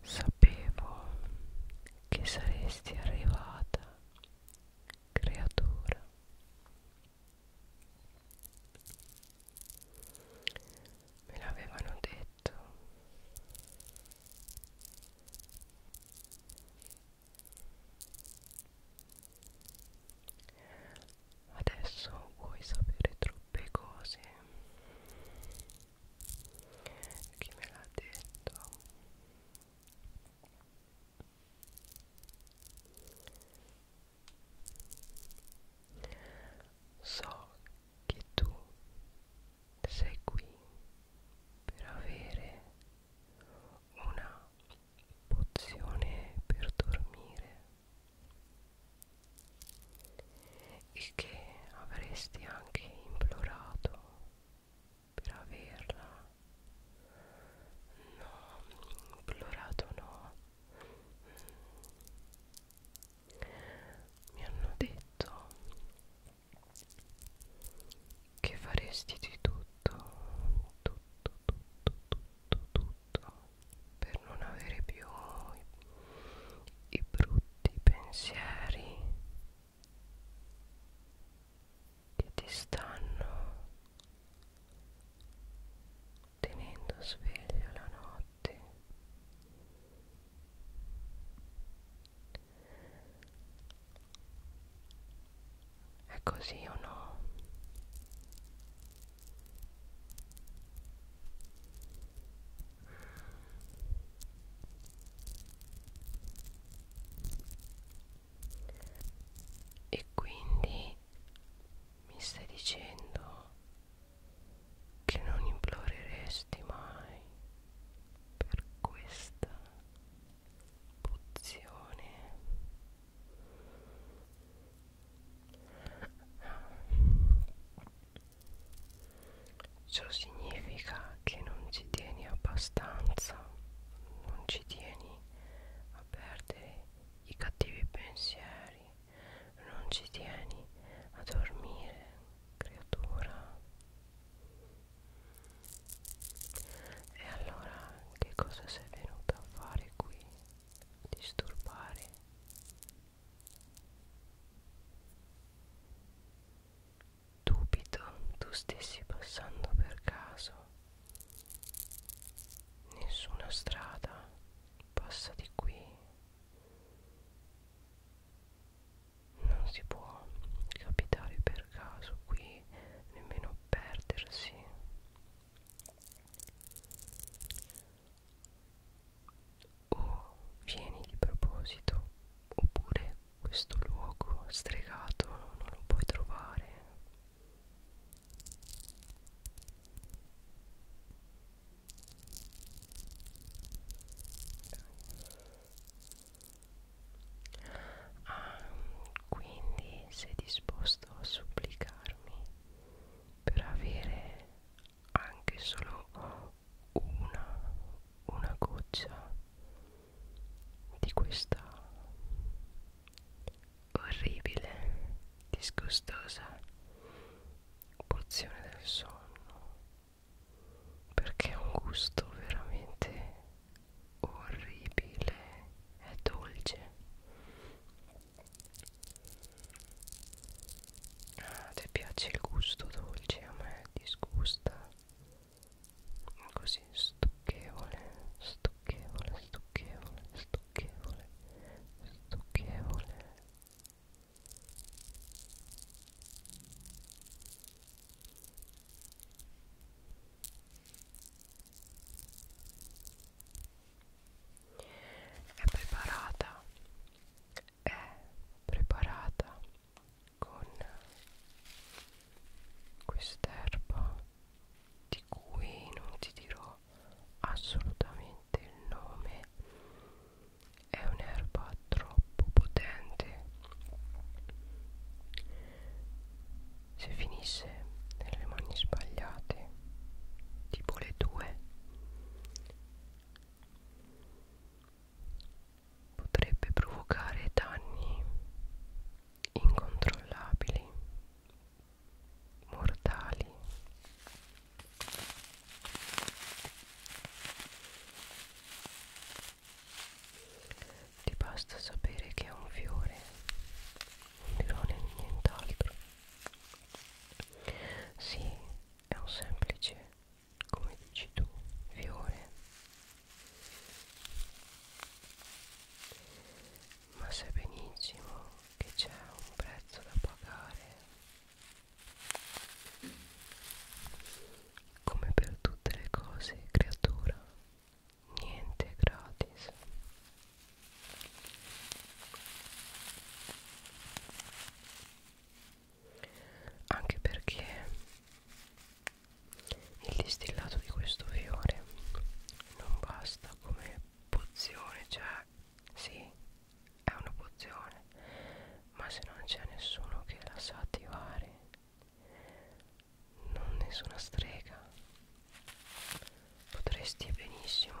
Sapevo che saresti arrivata, creatura. Me l'avevano detto. Adesso vuoi sapere troppe cose chi me l'ha detto so che tu sei qui per avere una pozione per dormire e che avresti anche implorato per averla no implorato no mi hanno detto che faresti di tutto tutto tutto tutto tutto per non avere più i brutti pensieri che ti stanno tenendo sveglio la notte è così o no e quindi mi stai dicendo che non imploreresti mai per questa pozione Ciò significa che non ci tieni abbastanza, non ci tieni a perdere i cattivi pensieri, non ci tieni a dormire, creatura. E allora che cosa sei venuta a fare qui? Disturbare Dubito tu stessi passando per caso. Nessuna strada passa di qui. Non si può capitare per caso qui, nemmeno perdersi o vieni di proposito oppure questo luogo stregato non lo puoi trovare ah, quindi sei disposto a supplicarmi per avere anche solo una, una goccia di questa orribile, disgustosa porzione del sonno perché ha un gusto veramente orribile, è dolce ah, ti piace il gusto dolce a me disgusta così stucchevole stucchevole stucchevole stucchevole stucchevole è preparata è preparata con quest'erba di cui non ti dirò assolutamente il nome è un'erba troppo potente se finisse nelle mani sbagliate tipo le tue potrebbe provocare danni incontrollabili, mortali. Ti basta sapere che è un fiore, non dirò nient'altro. Sì, è un semplice come dici tu fiore ma sai benissimo che c'è un prezzo da pagare come per tutte le cose creatura niente è gratis anche perché il distillato di questo fiore non basta come pozione cioè sì è una pozione ma se non c'è nessuno che la sa attivare non nessuna strega potresti benissimo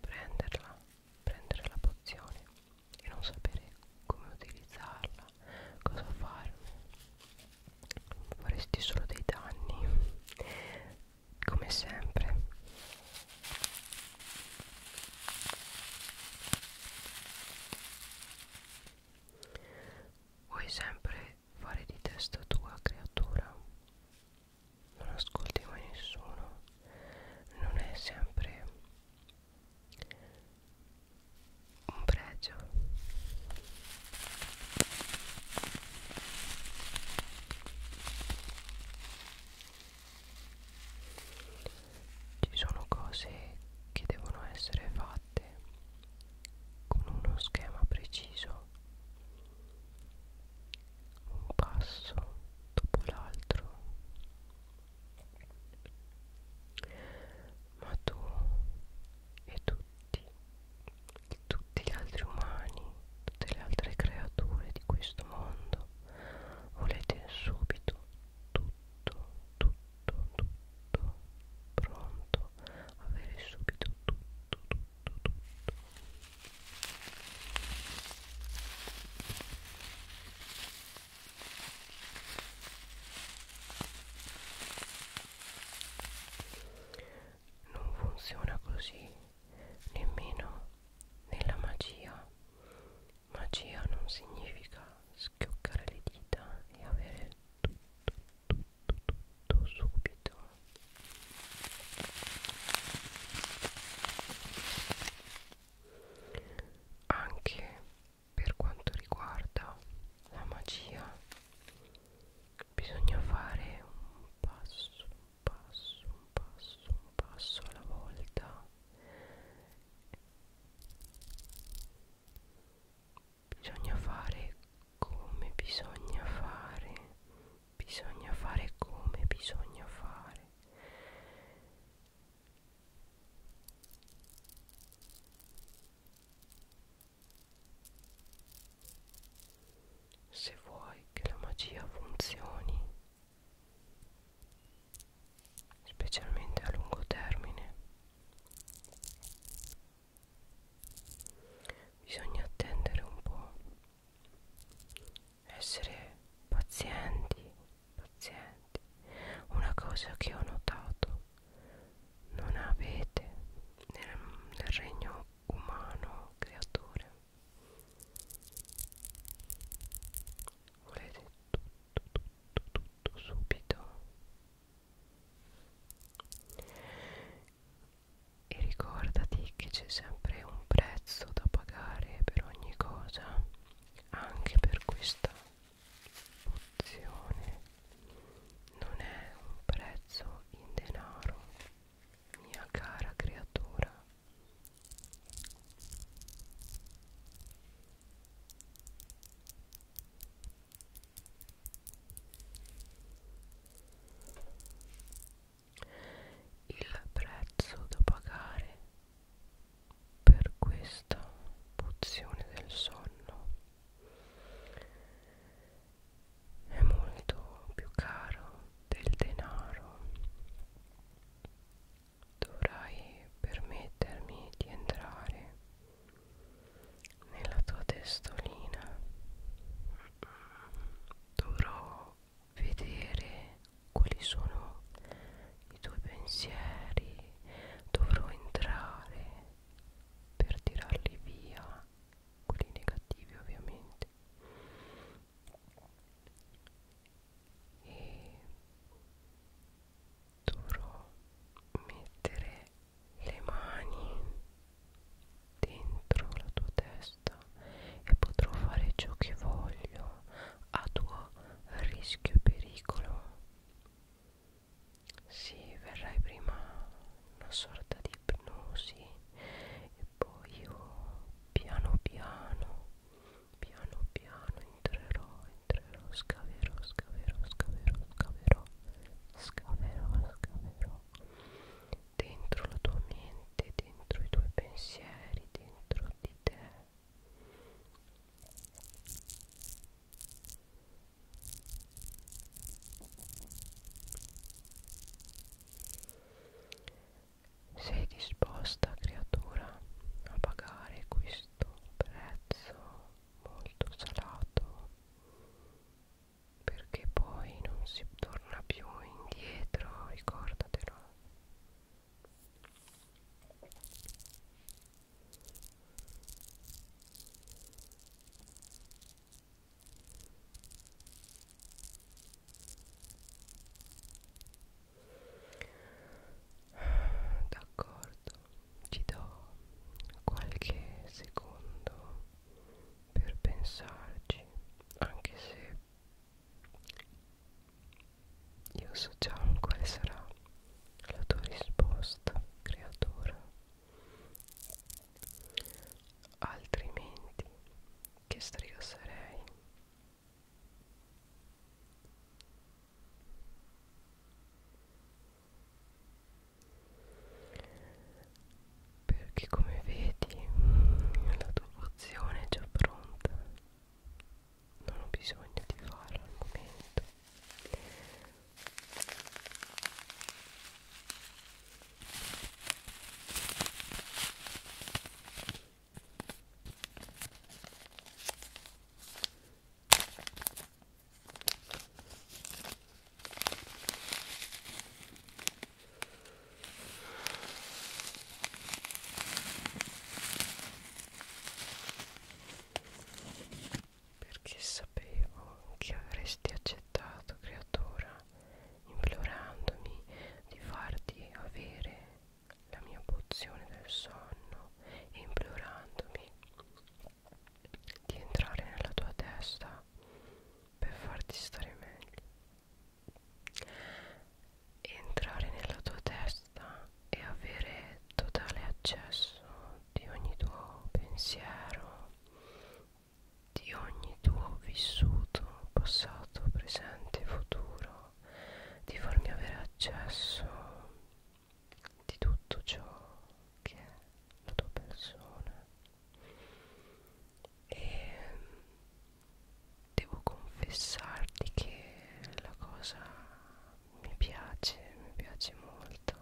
prenderla prendere la pozione e non sapere come utilizzarla, cosa farne, faresti solo dei danni, come sempre. Vuoi sempre fare di testa tua creatura? non ascolti mai nessuno non è sempre un pregio ci sono cose che devono essere fatte con uno schema preciso un passo dopo l'altro ma tu e tutti tutti gli altri umani tutte le altre creature di questo mondo volete subito tutto tutto tutto pronto avere subito tutto tutto tutto non funziona così, nemmeno nella magia. Magia non significa schioccare le dita e avere tutto, tutto, tutto subito anche per quanto riguarda la magia bisogna fare un passo un passo un passo un passo alla volta bisogna fare come bisogna fare bisogna fare come bisogna fare se vuoi che la magia funzioni specialmente a lungo termine bisogna attendere un po' essere pazienti, pazienti. Una cosa che ho notato, non avete nel, nel regno umano creature. Volete tutto, tutto, tutto subito e ricordati che c'è sempre un prezzo da pagare per ogni cosa anche per questa pozione non è un prezzo in denaro mia cara creatura il prezzo da pagare per questa pozione del sonno è molto più caro del denaro dovrai permettermi di entrare nella tua testolina dovrò vedere quali sono i tuoi pensieri dovrò entrare per tirarli via quelli negativi ovviamente e dovrò mettere le mani dentro la tua testa e potrò fare ciò che voglio a tuo rischio e pericolo. Sì, verrai prima una sorta di ipnosi e poi io piano piano, piano piano entrerò, entrerò, scaverò, scaverò, scaverò, scaverò, scaverò, scaverò dentro la tua mente, dentro i tuoi pensieri, dentro di te. Sei disposta, creatura, a pagare questo prezzo molto salato perché poi non si torna più indietro, ricordatelo. D'accordo, ti do qualche secondo per pensarci anche se io so già quale sarà la tua risposta creatora altrimenti che strega sarei perché come vedi la tua pozione è già pronta non ho bisogno di farla al momento perché sapevo che avresti accettato, creatura, implorandomi di farti avere la mia pozione del sonno e implorandomi di entrare nella tua testa per farti stare meglio entrare nella tua testa e avere totale accesso di ogni tuo pensiero di ogni tuo vissuto passato presente futuro di farmi avere accesso di tutto ciò che è la tua persona e mm, devo confessarti che la cosa mi piace, mi piace molto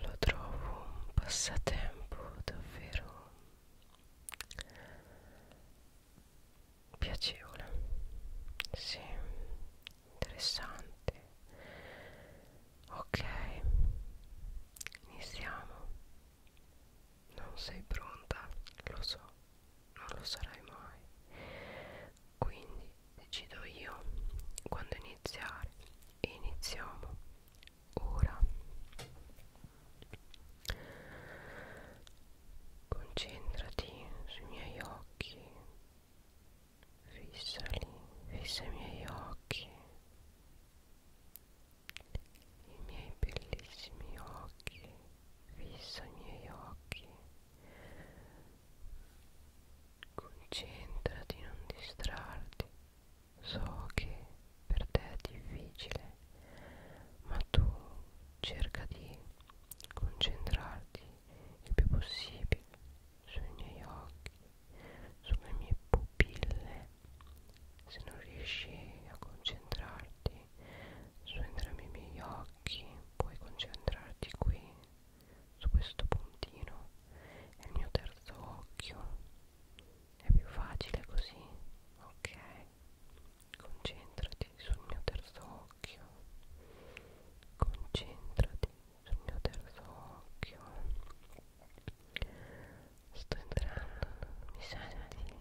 lo trovo un passatempo davvero piacevole sì interessante ok iniziamo non sei pronta lo so non lo sarai mai quindi decido io quando iniziare e iniziamo ora Concentrati sui miei occhi, fissali, fissa i miei occhi, i miei bellissimi occhi, fissa i miei occhi. Concentrati, non distrarti. So che per te è difficile, ma tu cerca di concentrarti il più possibile sui miei occhi, sulle mie pupille. Se non riesci a concentrarti su entrambi i miei occhi, puoi concentrarti qui, su questo puntino, è il mio terzo occhio è più facile così? Ok, concentrati sul mio terzo occhio. Concentrati sul mio terzo occhio. Sto entrando, mi senti?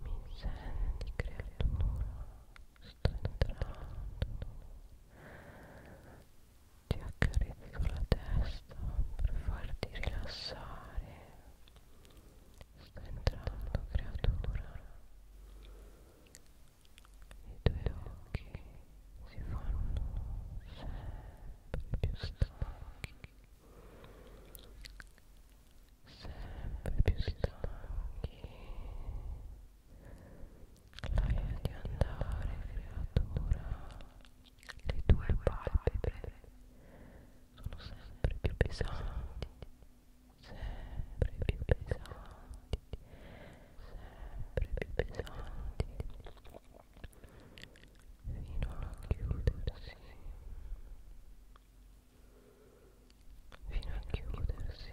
Mi senti creatura? sto entrando ti accarezzo la testa per farti rilassare sto entrando creatura i tuoi occhi si fanno sempre più stanchi sempre più stanchi la via di andare, creatura. Le tue palpebre sono sempre più pesanti, sempre più pesanti, sempre più pesanti, fino a chiudersi, fino a chiudersi.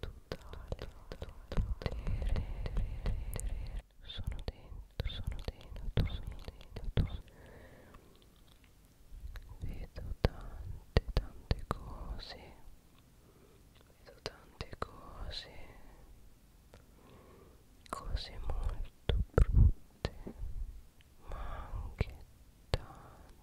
totale, totale potere. Sono dentro, sono dentro, sono dentro. Vedo tante, tante cose. Vedo tante cose. Cose molto brutte, ma anche tante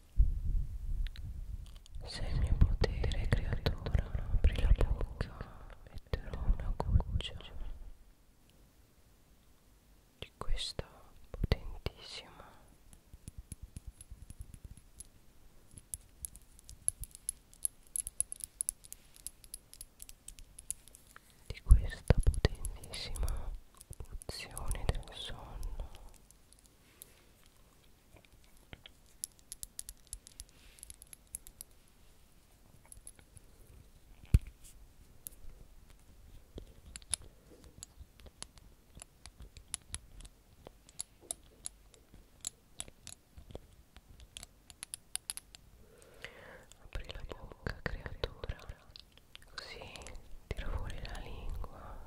Sei il mio potere, creatura, apri la bocca, metterò una goccia di questa potentissima di questa potentissima pozione del sonno Apri la bocca, creatura. Così tira fuori la lingua.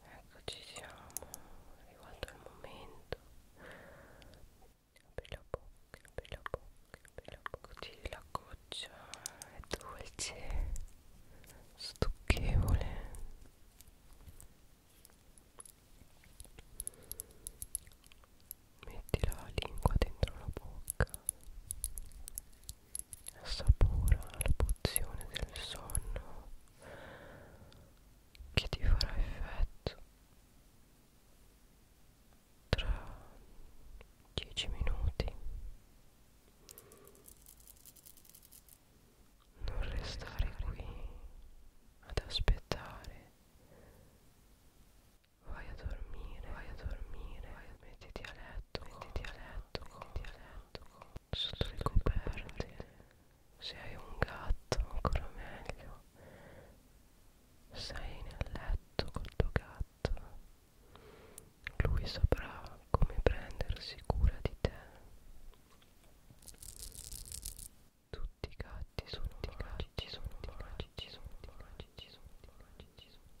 Eccoci siamo, è arrivato il momento. Apri la bocca, apri la bocca, apri la bocca. Così la goccia è dolce, stucchevole. Metti la lingua dentro la bocca Assapora la pozione del sonno che ti farà effetto tra 10 minuti. Non restare qui ad aspettare. Vai a dormire, vai a dormire, vai a... mettiti a letto, mettiti a letto, mettiti a letto sotto le coperte se hai un gatto ancora meglio sei nel letto col tuo gatto lui saprà come prendersi cura di te tutti i gatti sono i gatti sono i gatti sono i gatti sono i gatti sono i gatti sono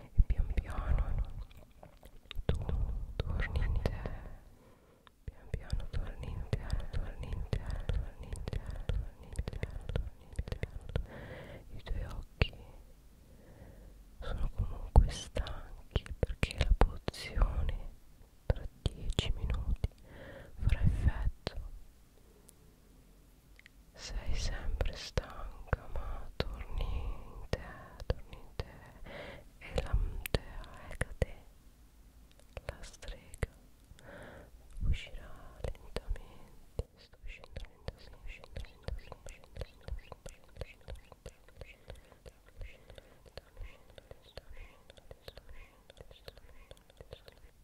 e pian piano tu torni in te pian piano torni in te torni in te torni in te torni in te torni in te i tuoi occhi sono comunque stanchi perché la pozione tra 10 minuti farà effetto sei sempre stanca ma torni in te, torni in te la strega, uscirà lentamente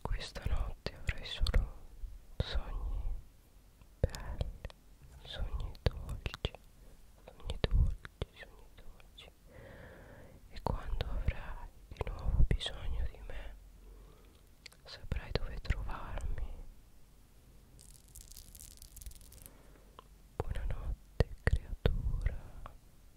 Questa notte avrai solo sogni belli, sogni dolci, sogni dolci, sogni dolci. E quando avrai di nuovo bisogno di me, saprai dove trovarmi. Buonanotte, creatura.